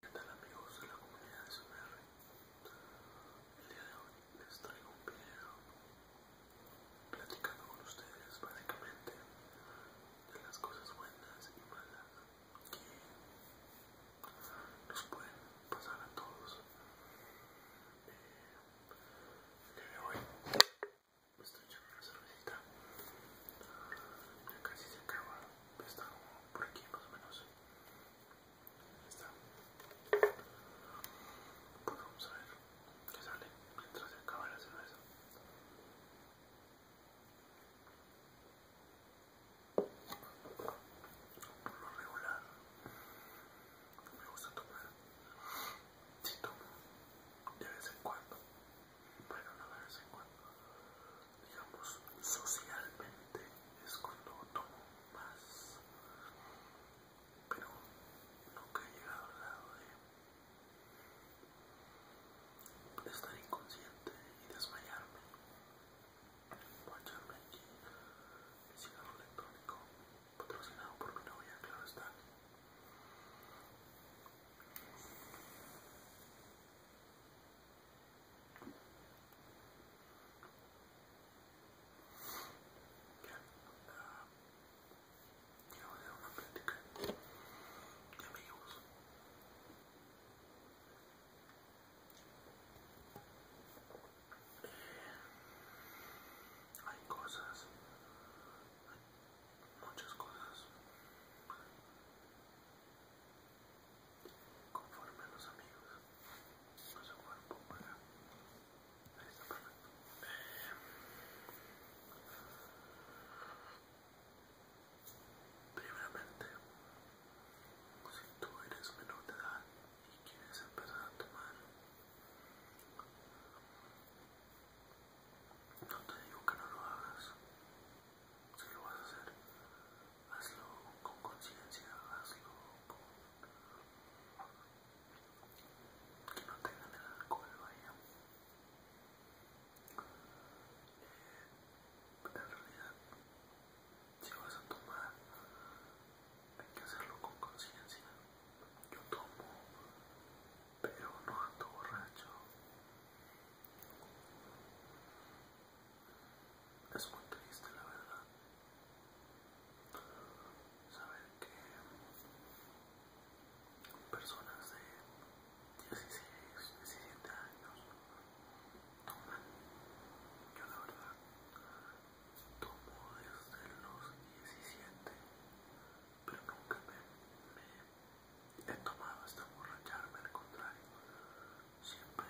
¿Qué tal amigos de la comunidad de SR? El día de hoy les traigo un video platicando con ustedes básicamente de las cosas buenas y malas que nos pueden pasar a todos. Eh, el de hoy estoy echando una cervecita, ya casi se acaba está como por aquí más o menos está pues vamos a ver qué sale mientras se acaba la cerveza por lo regular me gusta tomar si tomo de vez en cuando bueno no de vez en cuando digamos, socialmente es cuando tomo más, pero nunca he llegado al lado de estar inconsciente y desmayarme y aquí el cigarro electrónico patrocinado por mi novia, claro está ya voy amigos. hay cosas, hay muchas cosas conforme a los amigos con su cuerpo para ahí está eh, primeramente si tú eres menor de edad y quieres empezar a tomar no te digo que no lo hagas si lo vas a hacer, hazlo con conciencia, hazlo con... que no tengan el alcohol, eh, vaya. en realidad, si vas a tomar, hay que hacerlo con conciencia. Yo tomo, pero no ando borracho. Es muy triste, la verdad. Saber que personas de 16, 17 años toman. Yo, la verdad, tomo desde los 17, pero nunca me, me he tomado esta borracharme al contrario, siempre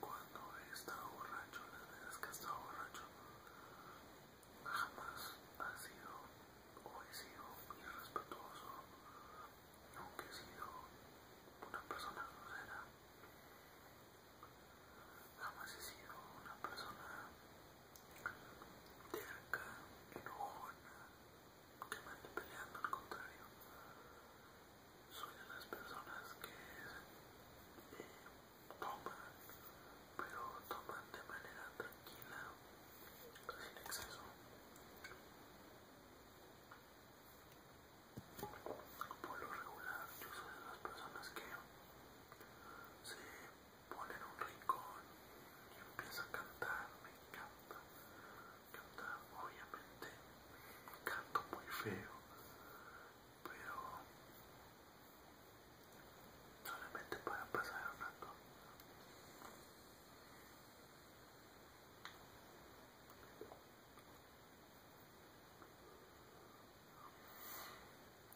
cuando he estado borracho, las veces que he estado borracho, jamás ha sido o he sido irrespetuoso, nunca he sido una persona grosera, jamás he sido una persona terca, enojona, que me peleando, al contrario. Soy de las personas que eh, toman, pero toman de manera tranquila, sin exceso. Por lo regular, yo soy de las personas que se ponen un rincón y empieza a cantar, me encanta cantar obviamente canto muy feo pero solamente para pasar el rato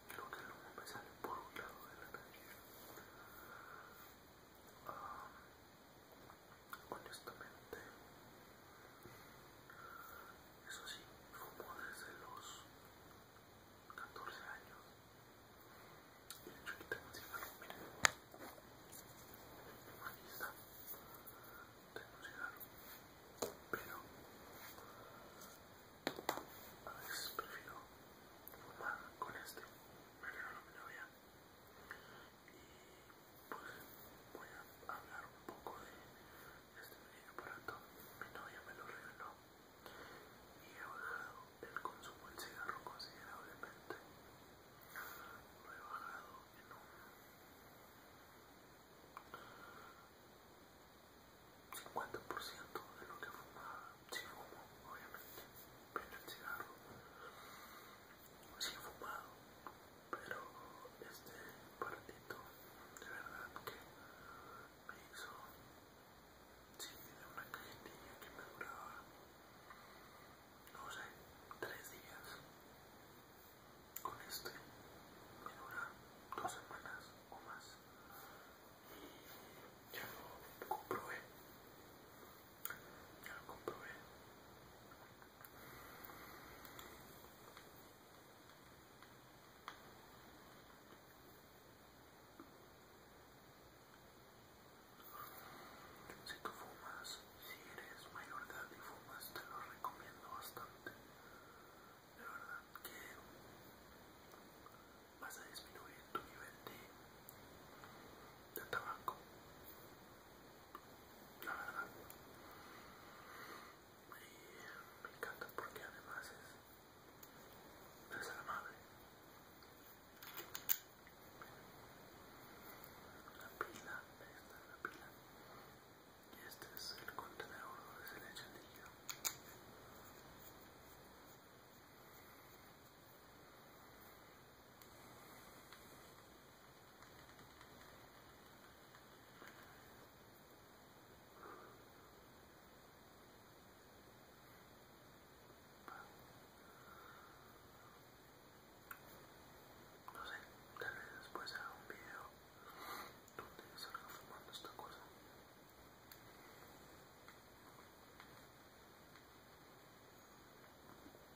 Creo que el humo me sale por un lado de la calle honestamente eso sí fumo desde los 14 años y de hecho aquí tengo un cigarro miren aquí está tengo un cigarro pero a veces prefiero fumar con este me regalo mi novia y pues voy a hablar un poco de este pequeño aparato. Mi novia me lo reveló y he bajado el consumo del cigarro considerablemente. Lo he bajado en un 50% de lo que fumaba. Si fumo, obviamente, pero el cigarro he pues fumado, pero este partito de verdad que me hizo, una cajetilla que me duraba, no sé, tres días. Con este me dura dos semanas o más y ya lo comprobé ya lo comprobé si tú fumas, si eres mayor de edad y fumas, te lo recomiendo bastante. De verdad que vas a disminuir tu nivel de, de tabaco la verdad y me encanta porque además es desalmable. la pila esta es la pila y este es el contenedor de se le echa no sé, tal vez después haga un video donde salga fumando esta cosa.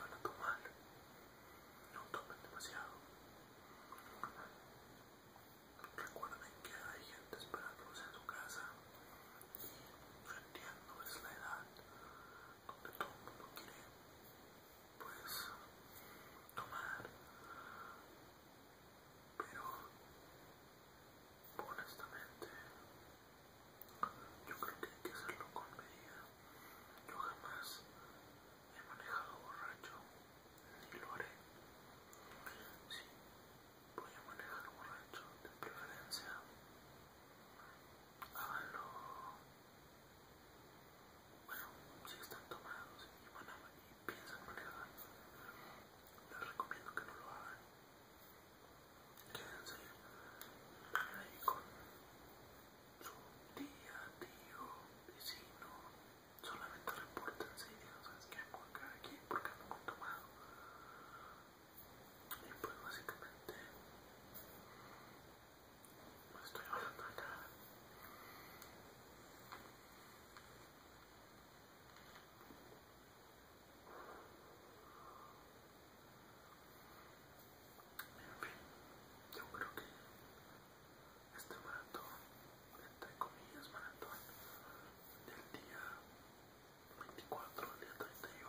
van a tomar. No tomen demasiado. Recuerden que hay gente esperándolos en su casa. Y yo entiendo, es la edad donde todo el mundo quiere, pues, tomar. Pero, honestamente, yo creo que hay que hacerlo con medida. Yo jamás He manejado borracho, ni lo haré. Sí, voy a manejar borracho de preferencia. Háganlo. Bueno, si están tomados y, piensan manejar, les recomiendo que no lo hagan. Quédense ahí con un día digo vecino solamente repórtense sí, digo, sabes qué hago acá aquí porque he tomado y pues básicamente no estoy hablando acá en fin, yo creo que este maratón, entre comillas maratón, del día 24 al día 31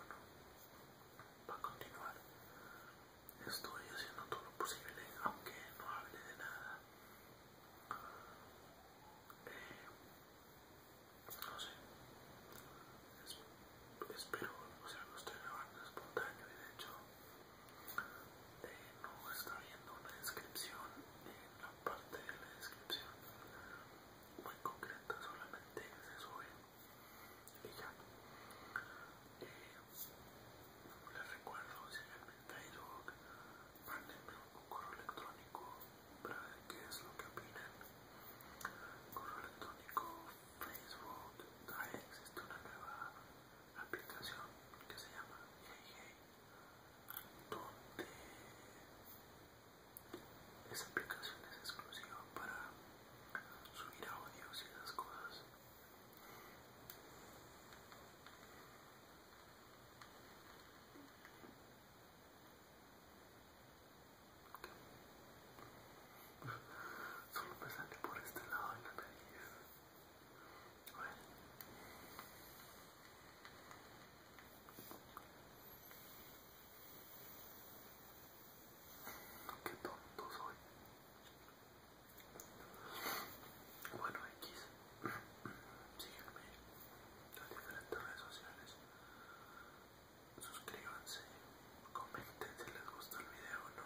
va a continuar. Estoy haciendo todo lo posible, aunque no hable de nada. Eh, no sé. espero, o sea, lo estoy grabando espontáneo y de hecho eh, no está viendo una descripción en eh, la parte de la descripción muy concreta solamente se sube y ya eh, les recuerdo si ven hay mandenme un correo electrónico para ver qué es lo que opinan correo electrónico facebook existe una nueva aplicación que se llama Hey donde esa aplicación es exclusiva para subir audios y las cosas. Solo me por este lado de la nariz. ver Qué tonto soy. Bueno, X. Síganme en diferentes redes sociales. Suscríbanse, comenten si les gusta el video o no.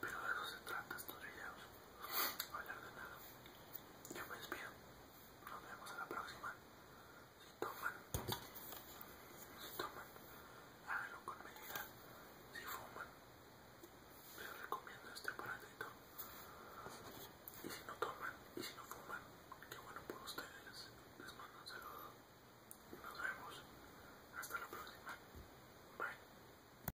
Pero de eso se trata estos videos. hablar de nada. Yo me despido. Nos vemos a la próxima. Si toman, si toman, háganlo con medida. Si fuman, les recomiendo este aparatito. Y si no toman, y si no fuman, qué bueno por ustedes. Les mando un saludo. Nos vemos. Hasta la próxima. Bye.